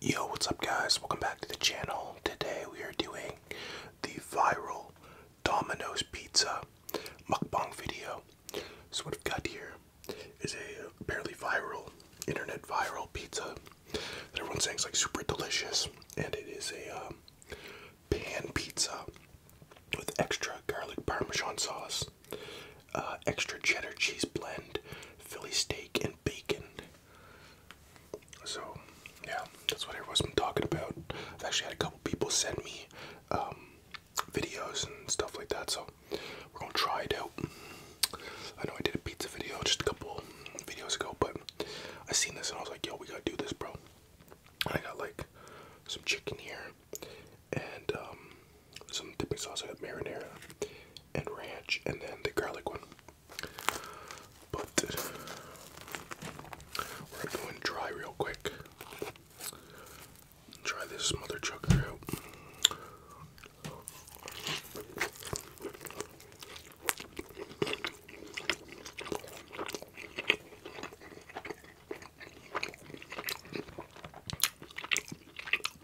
Yo, what's up, guys? Welcome back to the channel. Today we are doing the viral Domino's Pizza mukbang video. So, what I've got here is a barely viral, internet viral pizza that everyone's saying is like super delicious, and it is a um, pan pizza with extra garlic parmesan sauce, uh, extra cheddar cheese blend, Philly steak, and bacon. So, yeah, that's what everyone's been talking about. I've actually had a couple people send me um, videos and stuff like that, so we're gonna try it out. I know I did a pizza video just a couple videos ago, but I seen this and I was like, yo, we gotta do this, bro. And I got like some chicken here and um, some dipping sauce. I got marinara and ranch, and then the garlic one. But we're going dry real quick. Try this mother chucker out.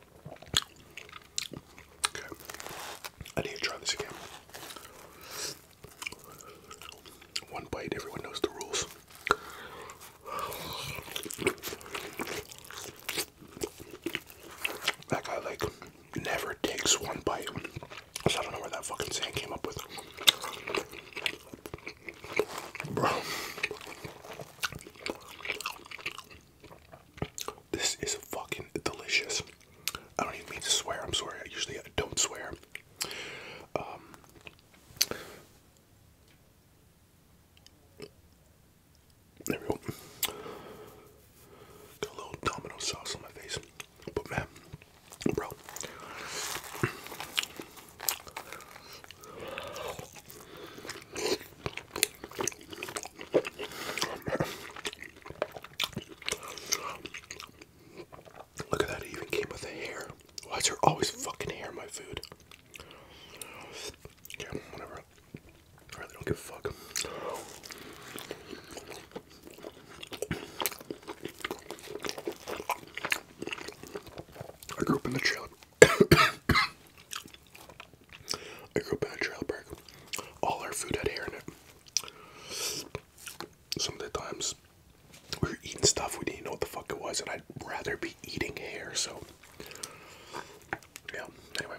Okay. I need to try this again. One bite, everyone knows the rules. That guy, like, never takes one bite. So I don't know where that fucking sand came up with. Bro. This is fucking delicious. I don't even mean to swear. I'm sorry. I usually don't swear. Um, there we go. Got a little domino sauce on my face, but man, bro. Look at that, it even came with a hair. Why is there always fucking hair in my food? whatever. I really don't give a fuck. I grew up in the trailer. I grew up in a trailer park. All our food had hair in it. Some of the times we were eating stuff we didn't know what the fuck it was, and I'd rather be eating hair, so. Yeah, anyway.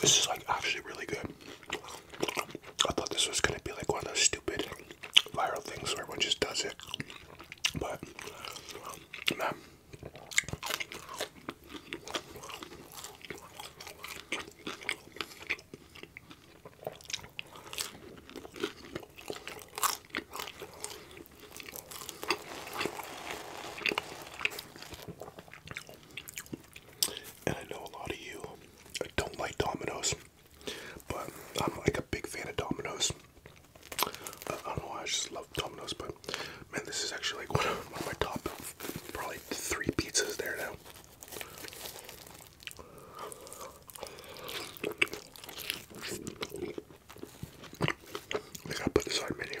This is like actually really good. I thought this was gonna be like one of those stupid viral things where everyone just does it. But, man. And I know a lot of you don't like Domino's, but I'm like a big fan of Domino's. I don't know why I just love Domino's, but man, this is actually like one of, my top, probably three pizzas there now. I gotta put this on menu.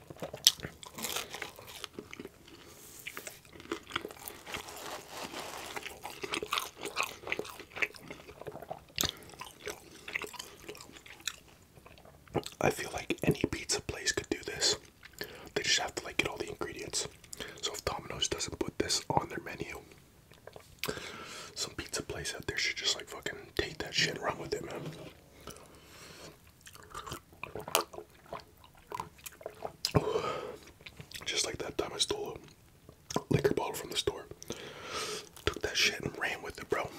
I feel like any pizza place could do this. They just have to like get all the ingredients. So if Domino's doesn't put this on their menu, some pizza place out there should just like fucking take that shit and with it, man. Just like that time I stole a liquor bottle from the store. Took that shit and ran with it, bro.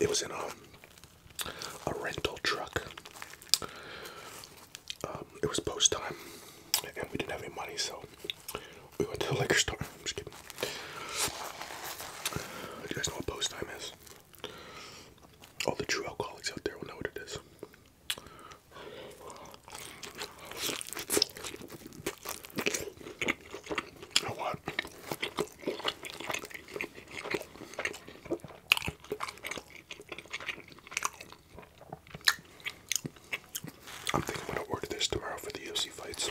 It was in a, a rental truck. Um, it was post time, and we didn't have any money, so we went to the liquor store. I'm just kidding. Do you guys know what post time is? All the true alcoholics out there will know what it is. I am thinking I'm gonna order this tomorrow for the UFC fights.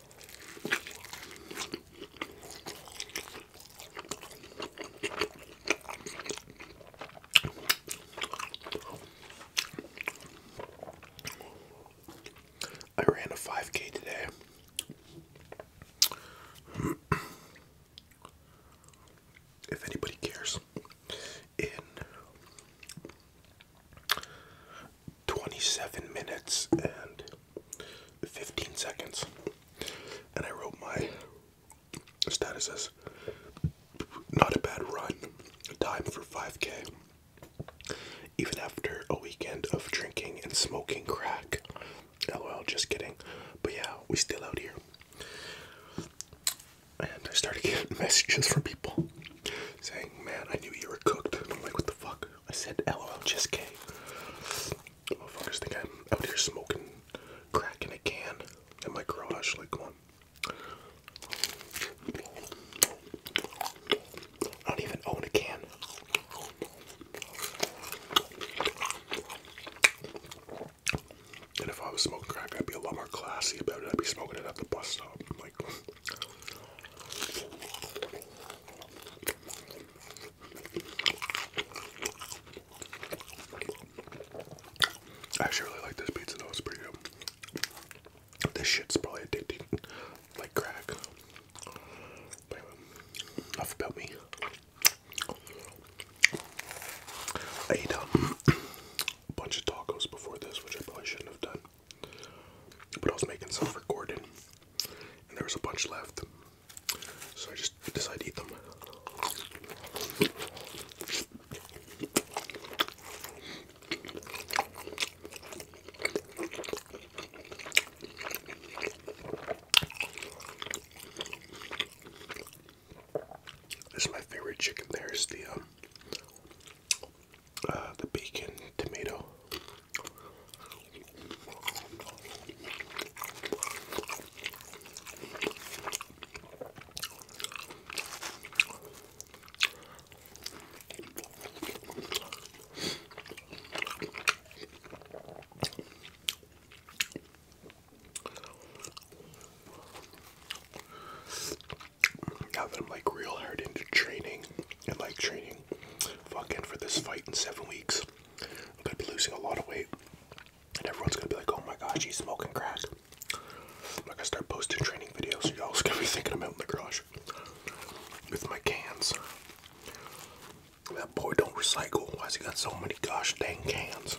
I ran a 5k today. if anybody cares 27 minutes and 15 seconds. And I wrote my status as not a bad run, time for 5k. Even after a weekend of drinking and smoking crack. LOL, just kidding. But yeah, we still out here. And I started getting messages from people saying, Man, I knew you were cooked. And I'm like, What the fuck? I said oh, LOL just K. Motherfuckers think I'm out here smoking crack in a can in my garage. Like, come on. I don't even own a can. And if I was smoking crack, I'd be a lot more classy about it. I'd be smoking it at the bus stop. Like, I actually really like this pizza though, it's pretty good. This shit's probably addicting, like crack. Um, enough about me. I ate um, a bunch of tacos before this, which I probably shouldn't have done. But I was making some for and there was a bunch left, so I just decided to eat them. This is my favorite chicken. There's the um, uh, the bacon tomato now that I'm like real hard into training, I like training fucking for this fight in seven weeks. I'm gonna be losing a lot of weight, and everyone's gonna be like, "Oh my gosh, he's smoking crack." I'm gonna start posting training videos, y'all's gonna be thinking I'm out in the garage with my cans. That boy don't recycle. Why's he got so many gosh dang cans?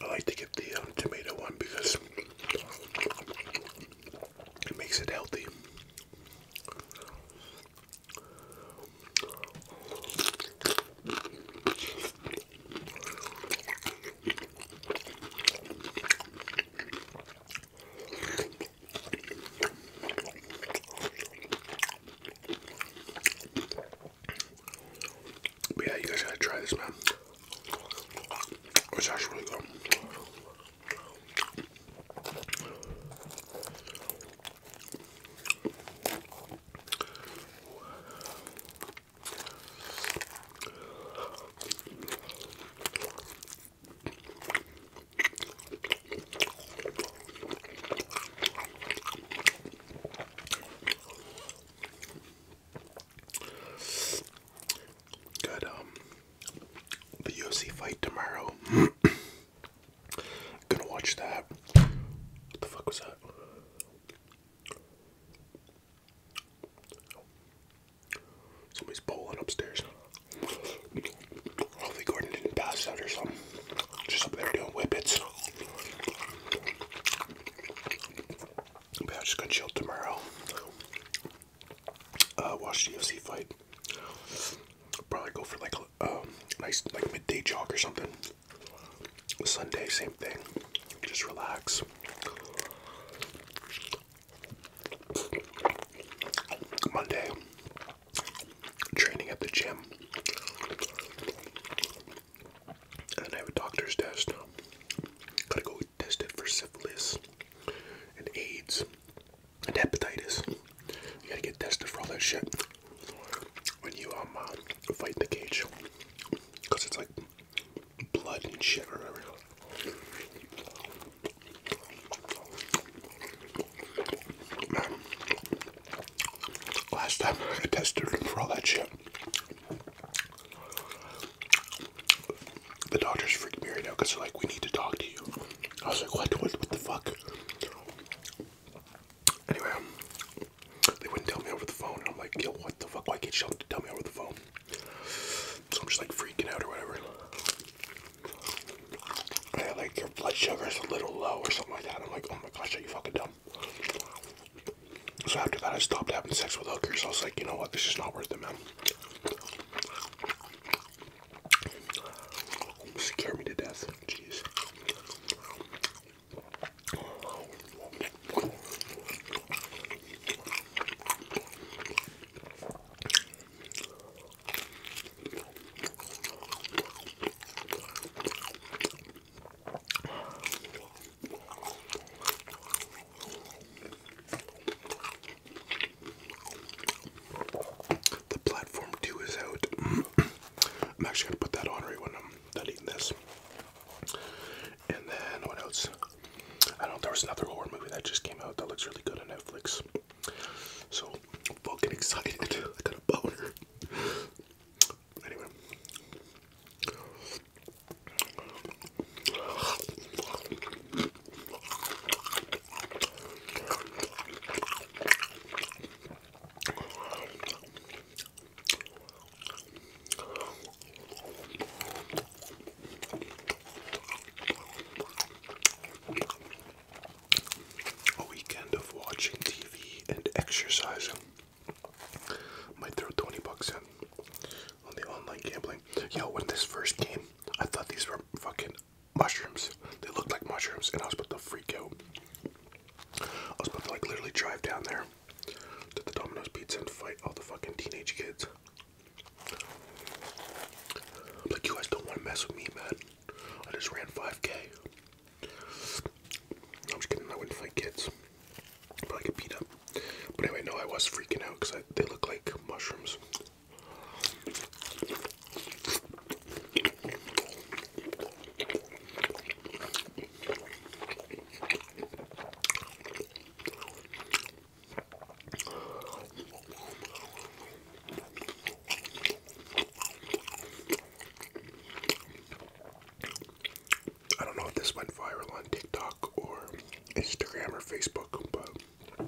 I like to get the um, tomato one because it makes it healthy. But yeah, you guys gotta try this, man. It's actually really good. Got um the UFC fight tomorrow. Gonna watch that. What the fuck was that? Somebody's bowling upstairs. Hopefully Gordon didn't pass out or something. Just up there doing whippets. But i just gonna chill tomorrow. Uh, watch UFC fight. Probably go for like a um, nice like midday jog or something. Sunday, same thing. Just relax. Monday, training at the gym. And then I have a doctor's test. Gotta go test it for syphilis and AIDS and hepatitis. You gotta get tested for all that shit when you um uh, fight the cage, cause it's like blood and shit or whatever. last time I tested for all that shit, the doctors freaked me right out because they're like, "We need to talk to you." I was like, "What? What? What the fuck?" Anyway, they wouldn't tell me over the phone. And I'm like, yo, what the fuck? Why can't you tell me over the phone? So I'm just like freaking out or whatever. Yeah, like your blood sugar is a little low or something like that. I'm like, oh my gosh, are you fucking dumb? So after that, I stopped having sex with hookers. I was like, you know what? This is not worth it, man. Scare me to death. Jeez. The platform two is out. I'm actually gonna put that on right when I'm done eating this. And then what else? I don't know. There was another horror movie that just came out that looks really good on Netflix. So fucking excited. I got a boner. Anyway. A weekend of watching TV and exercising might throw 20 bucks in on the online gambling. Yo, when this first came, I thought these were fucking mushrooms. They looked like mushrooms, and I was about to freak out. I was about to like literally drive down there to the Domino's Pizza and fight all the fucking teenage kids. I'm like, you guys don't want to mess with me, man. I just ran 5 k. am just kidding, I wouldn't fight kids. But I get beat up. But anyway, no, I was freaking out because they look like mushrooms. I don't know if this went viral on TikTok or Instagram or Facebook, but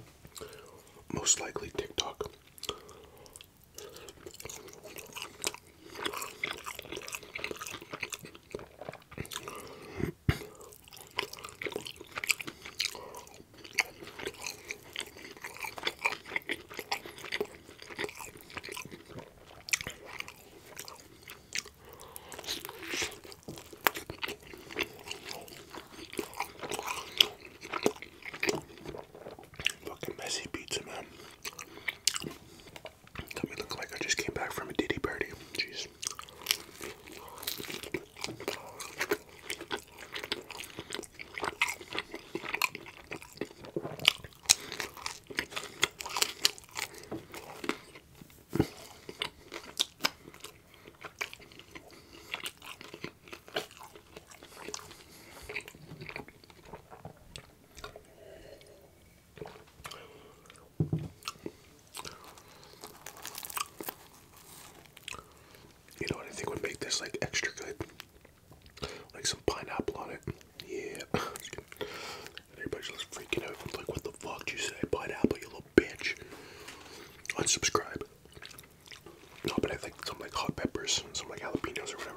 most likely TikTok. Fucking messy pizza, man. Got me looking like I just came back from a ditty party. Jeez. You know what I think would make this like extra good? Like some pineapple on it. Yeah. Everybody's freaking out. i like, what the fuck did you say? Pineapple, you little bitch. Unsubscribe. No, but I think some like hot peppers, some like jalapenos or whatever.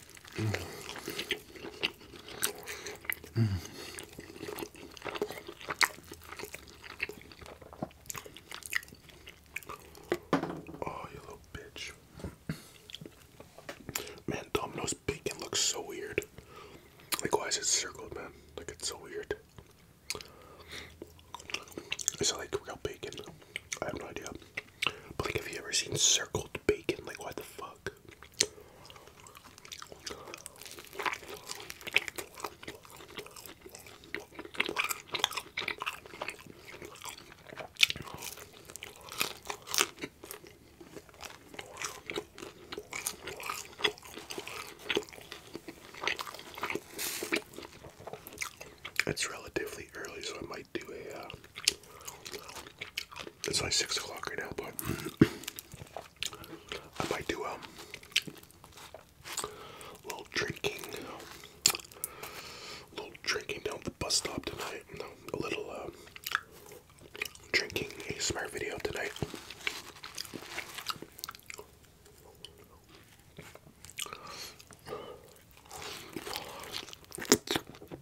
Oh, you little bitch. Man, Domino's bacon looks so weird. Like, why is it circled, man? Like, it's so weird. It's like real bacon? I have no idea. But, like, have you ever seen circled bacon? Like, what the fuck? It's relatively early, so I might do a uh, it's like six o'clock right now, but I might do um, a little drinking, a little drinking down the bus stop tonight. No, a little um, drinking ASMR video tonight.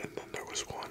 And then there was one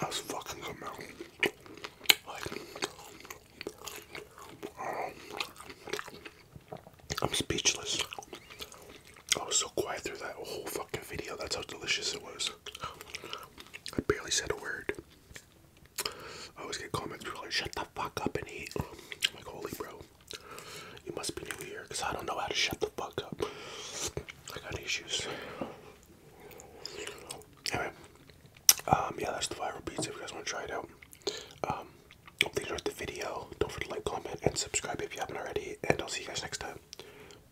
That's fucking good, man. Um, I'm speechless. I was so quiet through that whole fucking video. That's how delicious it was. I barely said a word. I always get comments where like, shut the fuck up and eat. I'm like, holy bro, you must be new here because I don't know how to shut the fuck up. I got issues. Anyway, um, yeah, that's the viral pizza if you guys want to try it out. Um, hope you enjoyed the video. Don't forget to like, comment, and subscribe if you haven't already. And I'll see you guys next time.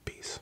Peace.